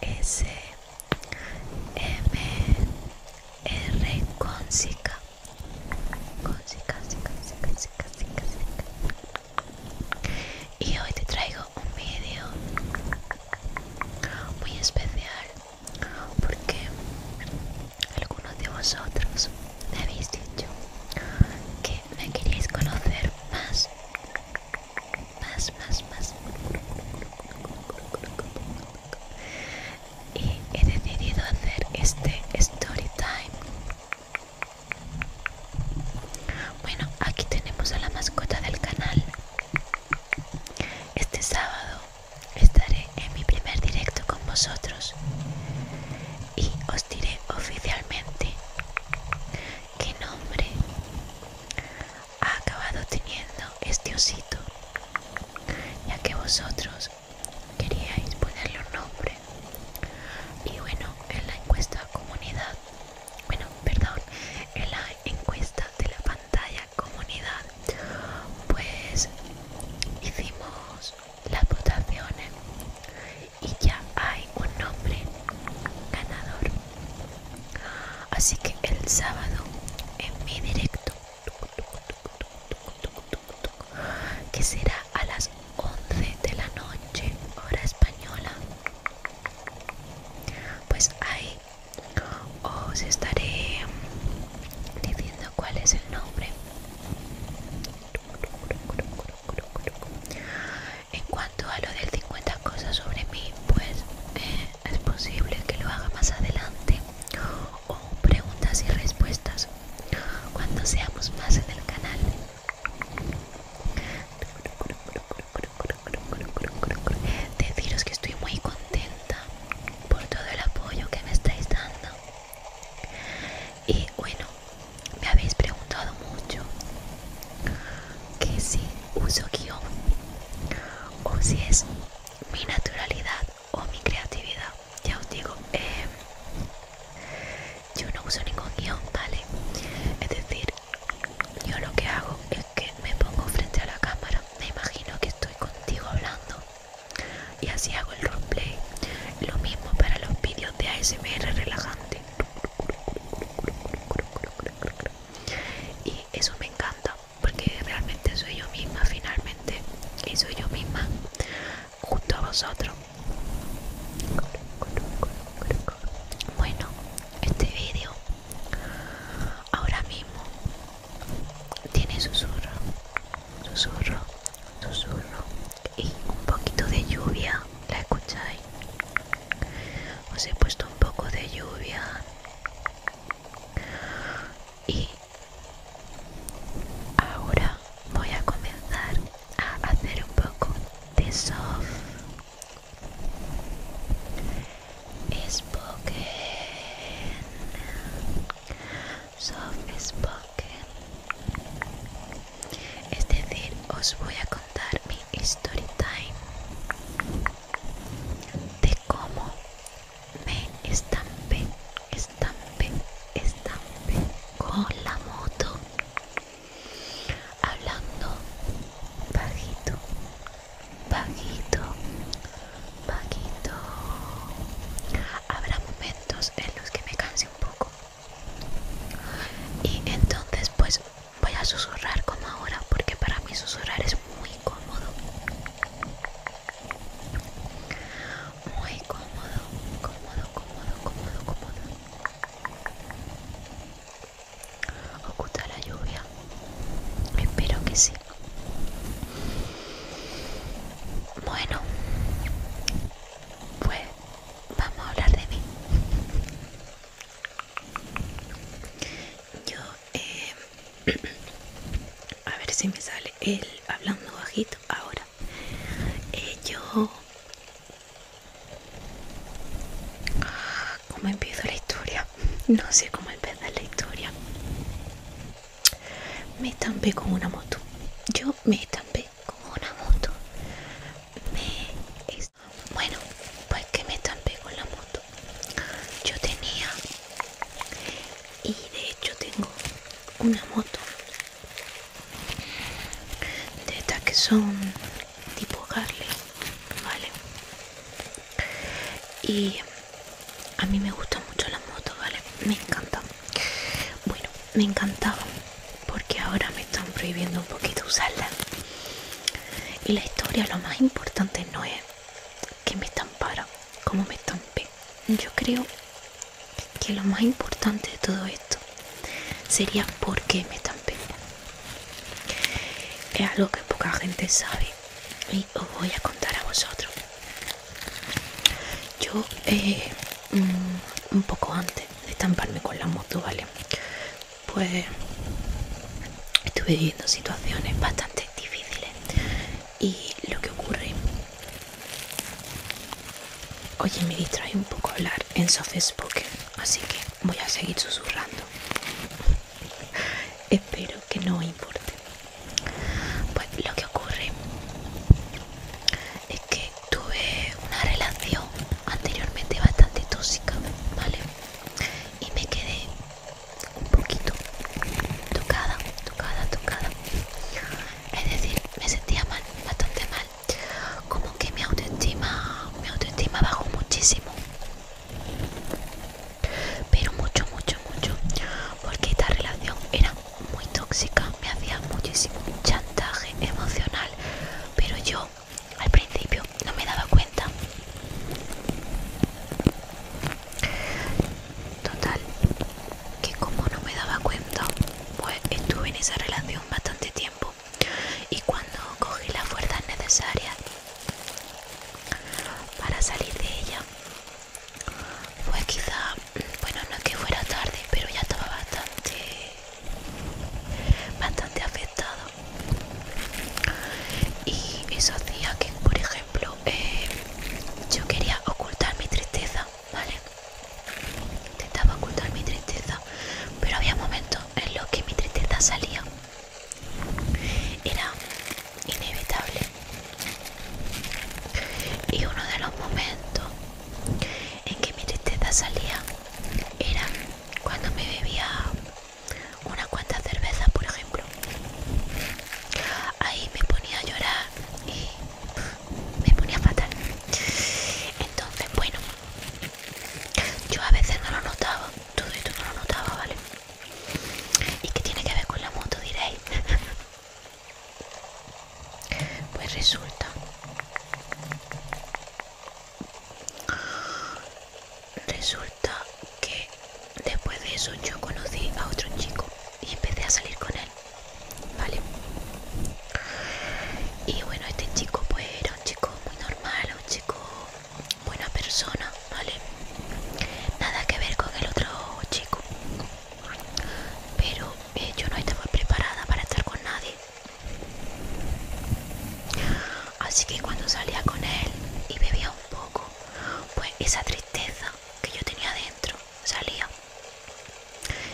S M R Consica Consica, sica, Consica, sica Y hoy te traigo un vídeo muy especial porque algunos de vosotros me habéis dicho que me queréis conocer más más, más, más. Y he decidido hacer este story time. Bueno, aquí tenemos a la mascota del canal. Este sábado estaré en mi primer directo con vosotros y os diré oficialmente qué nombre ha acabado teniendo este osito, ya que vosotros queríais ponerle un nombre. Y bueno, en la encuesta comunidad, bueno, perdón, en la encuesta de la pantalla comunidad, pues hicimos las votaciones y ya hay un nombre ganador Así que el sábado en mi directo, que será a las 11 de la noche, hora española, pues ahí os estaré diciendo cuál es el nombre en cuanto a lo del 50 cosas sobre mí, pues eh, es posible que lo haga más adelante o preguntas y respuestas cuando seamos más en el canal. Deciros que estoy muy contenta por todo el apoyo que me estáis dando. Y bueno, me habéis preguntado mucho que si uso guión o si es mi naturalidad o mi creatividad. Ya os digo, em, yo no uso ningún guión, ¿vale? Es decir, yo lo que hago es que me pongo frente a la cámara, me imagino que estoy contigo hablando y así hago el roleplay. Lo mismo para los vídeos de ASMR relajante. Y eso me encanta porque realmente soy yo misma finalmente y soy yo misma junto a vosotros bueno este vídeo ahora mismo tiene susurro susurro susurro y un poquito de lluvia la escucháis os he puesto un poco de lluvia y ahora voy a comenzar a hacer un poco de soft spoken soft spoken es decir os voy a contar mi story time de cómo me estampé, estampé, estampé con la moto hablando bajito, bajito, bajito. Habrá momentos en los que me canse un poco y entonces pues voy a susurrar como ahora porque para mí susurrar es muy cómodo muy cómodo cómodo cómodo cómodo cómodo oculta la lluvia espero que sí bueno pues vamos a hablar de mí yo eh, a ver si me sale el hablando bajito ahora eh, yo cómo empiezo la historia no sé cómo empezar la historia me estampé con una moto yo me estampé con una moto me bueno, pues que me pego en la moto. Yo tenía, y de hecho tengo una moto de estas que son tipo Harley, ¿vale? Y a mí me gustan mucho las motos, ¿vale? Me encanta. Bueno, me encantaba porque ahora me están prohibiendo un poquito usarlas y la historia, lo más importante no es que me estampara, como me estampé. Yo creo que lo más importante de todo esto sería por qué me estampé. Es algo que poca gente sabe y os voy a contar a vosotros. Yo, eh, mm, un poco antes de estamparme con la moto, ¿vale? pues estuve viviendo situaciones bastante difíciles y lo que ocurre oye me distrae un poco hablar en soft spoken así que voy a seguir susurrando espero que no importe pues lo que ocurre es que tuve una relación anteriormente bastante tóxica vale y me quedé un poquito tocada, tocada, tocada. Es decir, me sentía mal, bastante mal. Como que mi autoestima, mi autoestima bajó muchísimo. Pero mucho, mucho, mucho. Porque esta relación era muy tóxica. Me hacía muchísimo chantaje emocional. Pero yo al principio no me daba cuenta total que como no me daba cuenta pues estuve en esa relación bastante tiempo y cuando cogí las fuerzas necesarias para salir de ella pues quizá bueno no es que fuera tarde pero ya estaba bastante bastante afectada y eso hacía que por ejemplo eh, yo quería ocultar mi tristeza vale intentaba ocultar mi tristeza pero había momentos en los que mi tristeza salía era inevitable y uno de los momentos en que mi tristeza salía era cuando me bebía unas cuantas cervezas, por ejemplo. Ahí me ponía a llorar y me ponía fatal. Entonces, bueno, yo a veces no lo notaba, todo esto no lo notaba, ¿vale? ¿Y qué tiene que ver con la moto, diréis? pues resulta Resulta que después de eso yo conocí a otro chico y empecé a salir con él, ¿vale? Y bueno, este chico pues era un chico muy normal, un chico buena persona, ¿vale? Nada que ver con el otro chico. Pero eh, yo no estaba preparada para estar con nadie. Así que cuando salía con él y bebía un poco, pues esa tristeza que yo tenía dentro salía.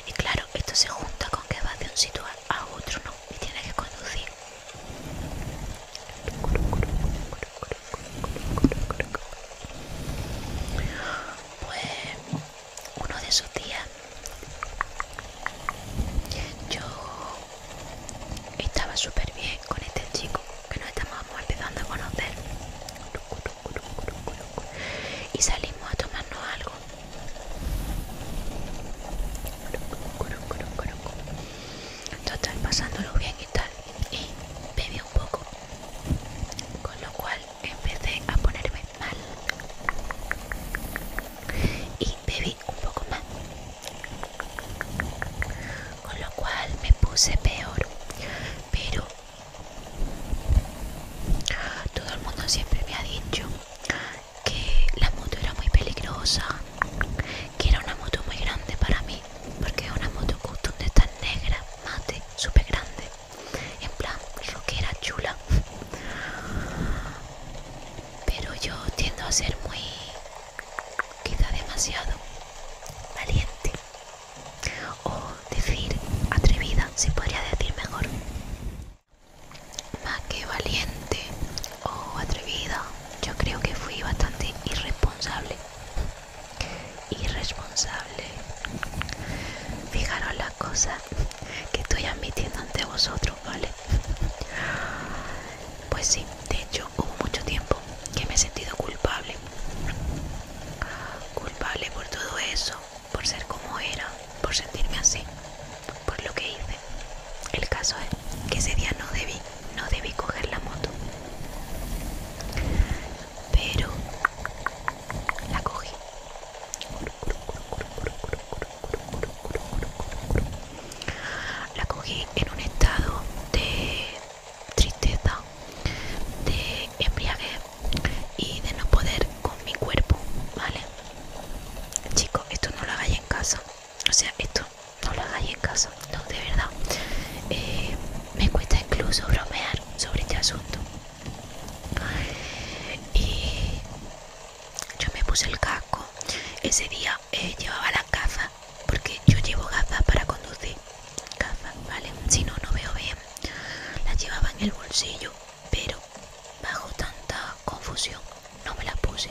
Y claro, esto se junta con que va de un sitio a otro, ¿no? Y tienes que conducir. Pues uno de esos días yo estaba súper bien con este chico que nos estamos empezando a conocer. Y salimos a tomarnos algo. Total, pasándolo bien y tal. Y bebí un poco. Con lo cual empecé a ponerme mal. Y bebí un poco más con lo cual me puse peor pero todo el mundo siempre me ha dicho que la moto era muy peligrosa que era una moto muy grande para mí porque es una moto custom de tan negra mate super grande en plan era chula pero yo tiendo a ser muy quizá demasiado valiente o decir atrevida se podría decir mejor más que valiente o atrevida yo creo que fui bastante irresponsable irresponsable fijaros las cosas que estoy admitiendo ante vosotros vale pues sí, de hecho hubo mucho tiempo que me he sentido culpable. Culpable por todo eso, por ser como era, por sentirme así, por lo que hice. El caso es que ese día no debí, no debí coger la moto. Pero la cogí. La cogí en un estado de tristeza, de embriaguez y de no poder con mi cuerpo, ¿vale? Chicos, esto no lo hagáis en casa. O sea, esto no lo hagáis en casa. No, de verdad. Eh, me cuesta incluso bromear sobre este asunto. Y yo me puse el casco. Ese día eh, llevaba las gafas, porque yo llevo gafas para conducir. Gafas, ¿vale? Si no, no veo bien. Las llevaba en el bolsillo, pero bajo tanta confusión no me las puse.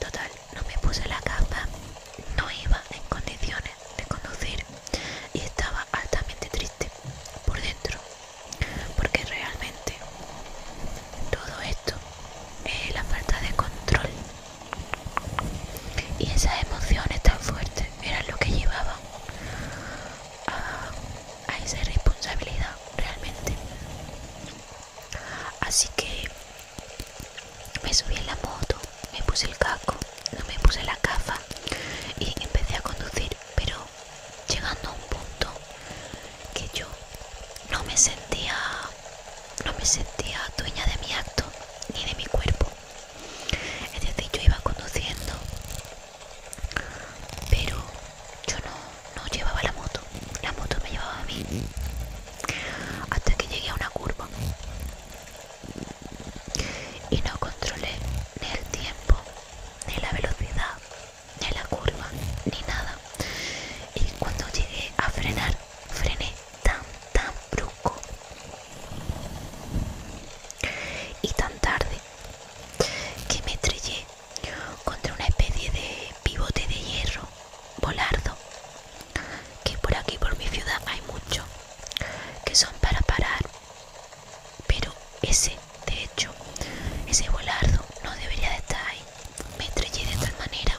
Total, no me puse la gafas, no iba en condiciones de conducir y estaba altamente triste por dentro porque realmente todo esto es la falta de control y esas emociones tan fuertes eran lo que llevaba a, esa irresponsabilidad realmente así que me subí en la moto me puse el casco no me puse la caja y empecé a conducir pero llegando a un punto que yo no me sentía no me sentía dueña de mi acto ni de mi cuerpo es decir yo iba conduciendo pero yo no, no llevaba la moto la moto me llevaba a mí hasta que llegué a una curva y no controlé ni el tiempo ni la velocidad, ni la curva, ni nada. Y cuando llegué a frenar, frené tan, tan brusco y tan tarde que me estrellé contra una especie de pivote de hierro volardo que por aquí por mi ciudad hay mucho que son para parar pero ese, de hecho, ese volardo no debería de estar ahí. Me estrellé de tal manera,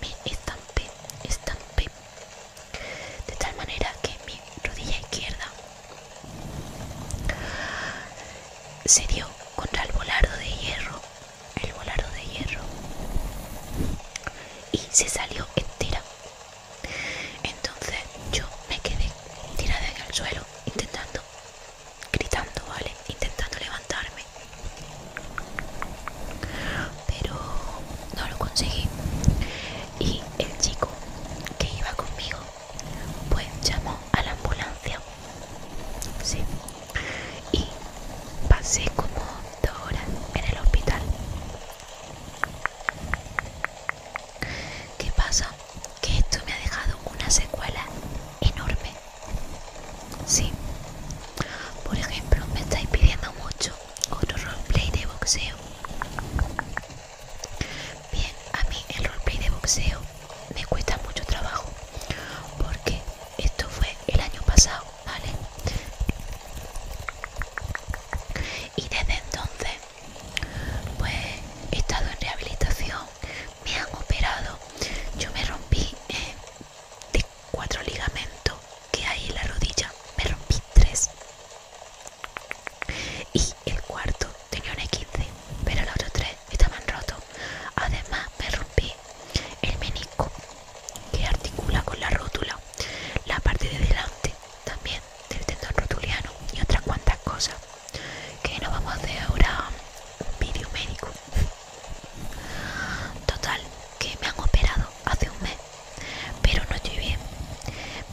me estampé, estampé. De tal manera que mi rodilla izquierda se dio contra el volardo de hierro, el volardo de hierro, y se salió entera. Entonces yo me quedé tirada en el suelo, intentando, gritando, ¿vale? Intentando levantarme. Pero no lo conseguí. Y el chico que iba conmigo, pues llamó a la ambulancia. Sí. Y pasé como dos horas en el hospital. ¿Qué pasa? Que esto me ha dejado una secuela enorme. Sí. Por ejemplo, me estáis pidiendo mucho otro roleplay de boxeo. Bien, a mí el roleplay de boxeo me cuesta mucho trabajo. Porque esto fue el año pasado, ¿vale? Y desde entonces pues he estado en rehabilitación, me han operado. Yo me rompí eh, de cuatro ligamentos que hay en la rodilla, me rompí tres. Y el cuarto tenía un e pero los otros tres estaban rotos. Además, me rompí el menisco que articula con la rótula, la parte de delante también del tendón rotuliano y otras cuantas cosas que no vamos a hacer ahora vídeo médico total que me han operado hace un mes pero no estoy bien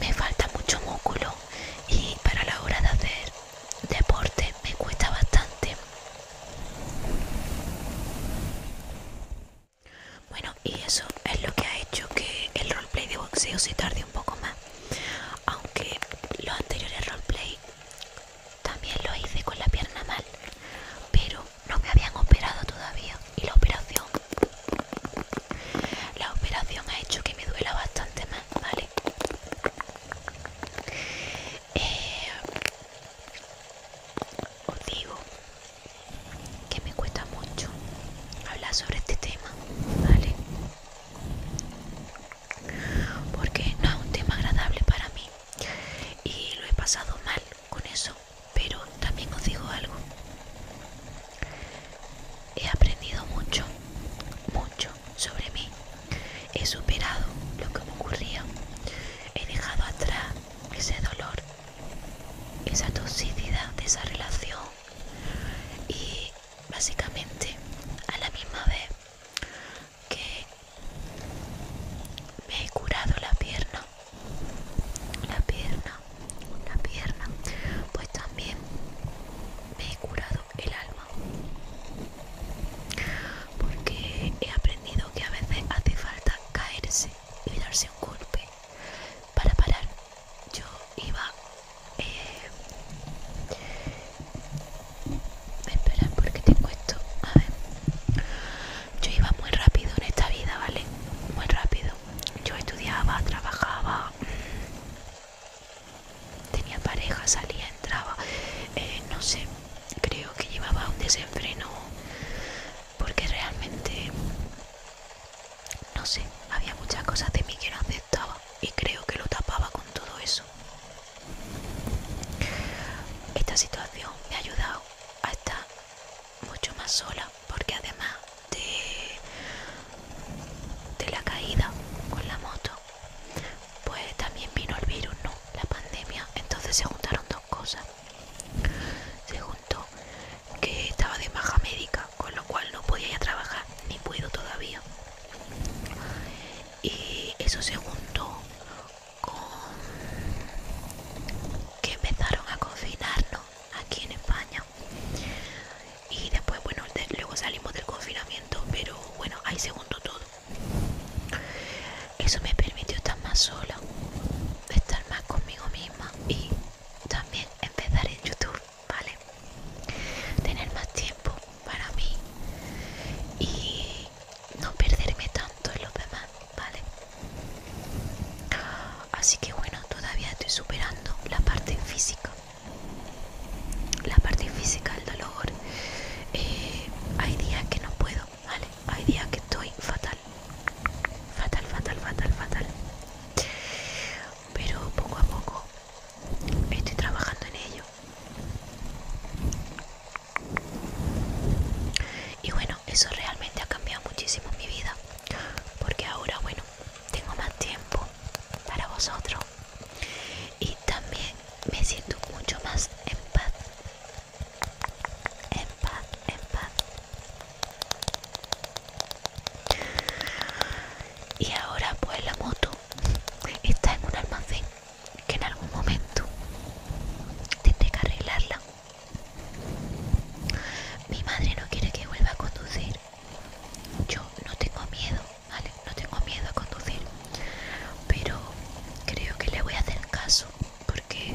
me falta mucho músculo y para la hora de hacer deporte me cuesta bastante bueno y eso es lo que ha hecho que el roleplay de boxeo se tarde un poco más aunque los anteriores roleplay también lo hice con la pierna mal pero no me habían operado todavía y la operación la operación ha hecho que me duela bastante más vale eh, os digo que me cuesta mucho hablar sobre este tema vale porque no es un tema agradable para mí y lo he pasado mal con eso pero también os digo algo he aprendido mucho mucho sobre mí he superado lo que me ocurría he dejado atrás ese dolor esa toxicidad de esa relación y básicamente a la misma vez que me he curado la pierna la pierna la pierna pues también me he curado el alma porque he aprendido que a veces hace falta caerse y darse un golpe para parar yo iba eh, espera porque tengo esto a ver yo iba muy rápido en esta vida vale muy rápido yo estudiaba trabajaba mm, tenía pareja salía entraba eh, no sé creo que llevaba un desenfreno porque realmente no sé, había muchas cosas de mí que no aceptaba y creo que lo tapaba con todo eso. Esta situación me ha ayudado a estar mucho más sola porque además de, la caída con la moto, pues también vino el virus, ¿no? La pandemia, entonces se juntaron dos cosas. Se juntó que estaba de baja médica con lo cual no podía ir a trabajar ni puedo todavía y eso se juntó con que empezaron a confinarnos aquí en España y después bueno luego salimos del confinamiento pero bueno ahí se juntó todo eso me permitió estar más sola estar más conmigo misma y también empezar en YouTube ¿vale? Tener más tiempo para mí y no perderme tanto en los demás, ¿vale? Así que bueno, todavía estoy superando la parte física. La parte física, del dolor. Eh, hay días que no puedo, ¿vale? Hay días que estoy fatal. Fatal, fatal, fatal, fatal. Pero poco a poco Estoy trabajando en ello. Y bueno, eso realmente ha cambiado muchísimo mi vida. Porque ahora, bueno, tengo más tiempo para vosotros. Y también me siento mucho más en paz. En paz, en paz. Y ahora pues la moto está en un almacén que en algún momento tendré que arreglarla. Mi madre no quiere que vuelva a conducir. Yo no tengo miedo, ¿vale? No tengo miedo a conducir. Pero creo que le voy a hacer caso porque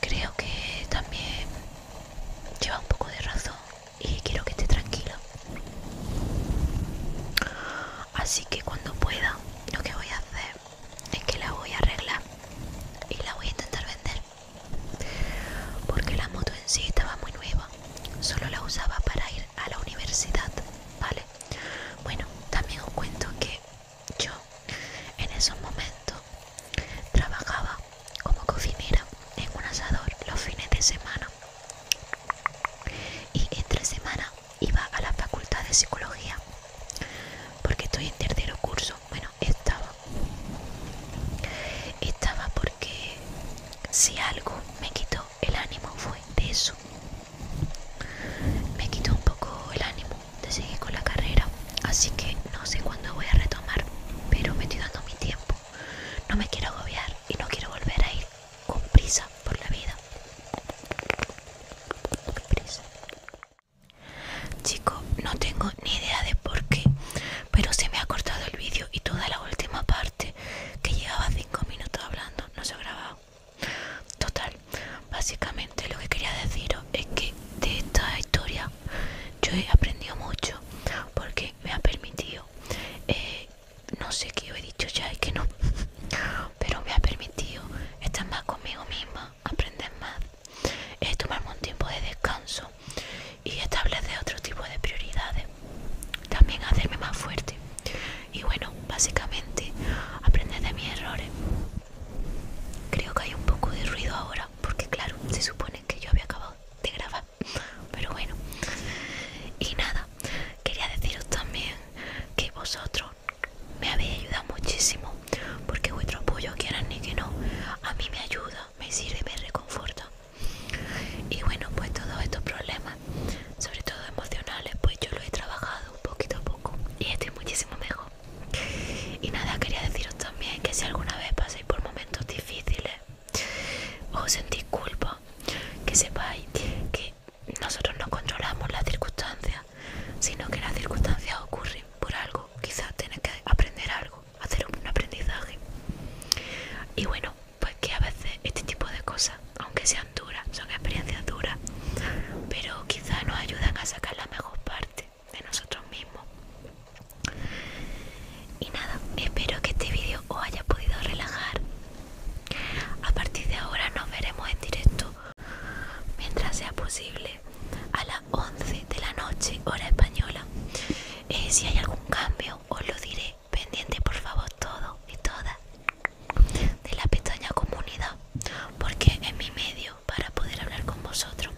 creo que también lleva un poco de razón y quiero que esté tranquila Así que cuando pueda, lo que voy a hacer es que la voy a arreglar y la voy a intentar vender. Porque la moto en sí estaba muy nueva, solo la usaba para ir a la universidad, ¿vale? Bueno, también os cuento que yo en esos momentos trabajaba como cocinera en un asador los fines de semana y entre semana iba a la facultad de psicología porque estoy en tercero curso bueno estaba estaba porque si algo me quitó el ánimo fue de eso me quitó un poco el ánimo de seguir con la carrera así que no sé cuándo voy a retomar pero me estoy dando mi tiempo no me quiero agobiar y no quiero volver a ir con prisa por la vida. Chicos, Chico, no tengo ni idea de por qué, pero se me ha cortado el vídeo y toda la última parte que llevaba 5 minutos hablando no se ha grabado. Total, básicamente lo que quería deciros es que de esta historia yo he aprendido mucho porque me ha permitido eh, no sé qué he dicho ya y que no pero me ha permitido estar más conmigo misma aprender más eh, tomarme un tiempo de descanso y establecer otro tipo de prioridades también hacerme más fuerte y bueno básicamente aprender de mis errores creo que hay un poco de ruido ahora porque claro se supone que yo había acabado de grabar pero bueno y nada quería deciros también que vosotros me habéis ayudado muchísimo porque vuestro apoyo quiera ni que no a mí me ayuda me sirve me reconforta y bueno pues todos estos problemas sobre todo emocionales pues yo lo he trabajado poquito a poco y estoy muchísimo mejor y nada quería deciros también que si alguna vez paséis por momentos difíciles o sentir culpa, que sepáis que nosotros no controlamos las circunstancias, sino que las circunstancias ocurren por algo, quizás tenés que aprender algo, hacer un aprendizaje. Y bueno, pues que a veces este tipo de cosas, aunque sean duras, son experiencias duras, pero quizás nos ayudan a sacar la mejor parte de nosotros mismos y nada espero que este vídeo os haya podido relajar a partir de ahora nos veremos en directo mientras sea posible a las 11 de la noche hora española eh, si hay algún cambio os lo diré pendiente por favor todo y todas de la pestaña comunidad porque es mi medio para poder hablar con vosotros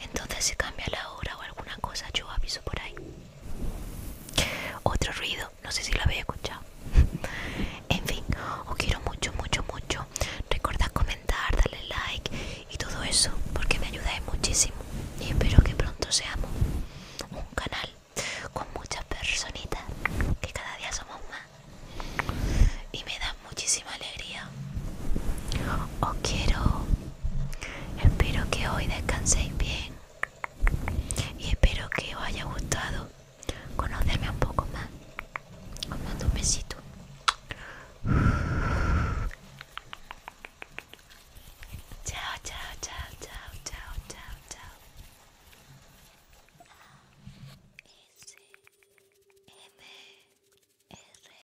entonces se cambia la hora o alguna cosa, yo aviso por ahí. Otro ruido, no sé si lo habéis escuchado. en fin, os quiero mucho, mucho, mucho. Recordad comentar, darle like y todo eso, porque me ayudáis muchísimo. Y espero que pronto seamos un canal con muchas personitas, que cada día somos más. Y me da muchísima alegría os quiero espero que hoy descanséis bien y espero que os haya gustado conocerme un poco más os mando un besito chao chao chao chao chao chao chao M R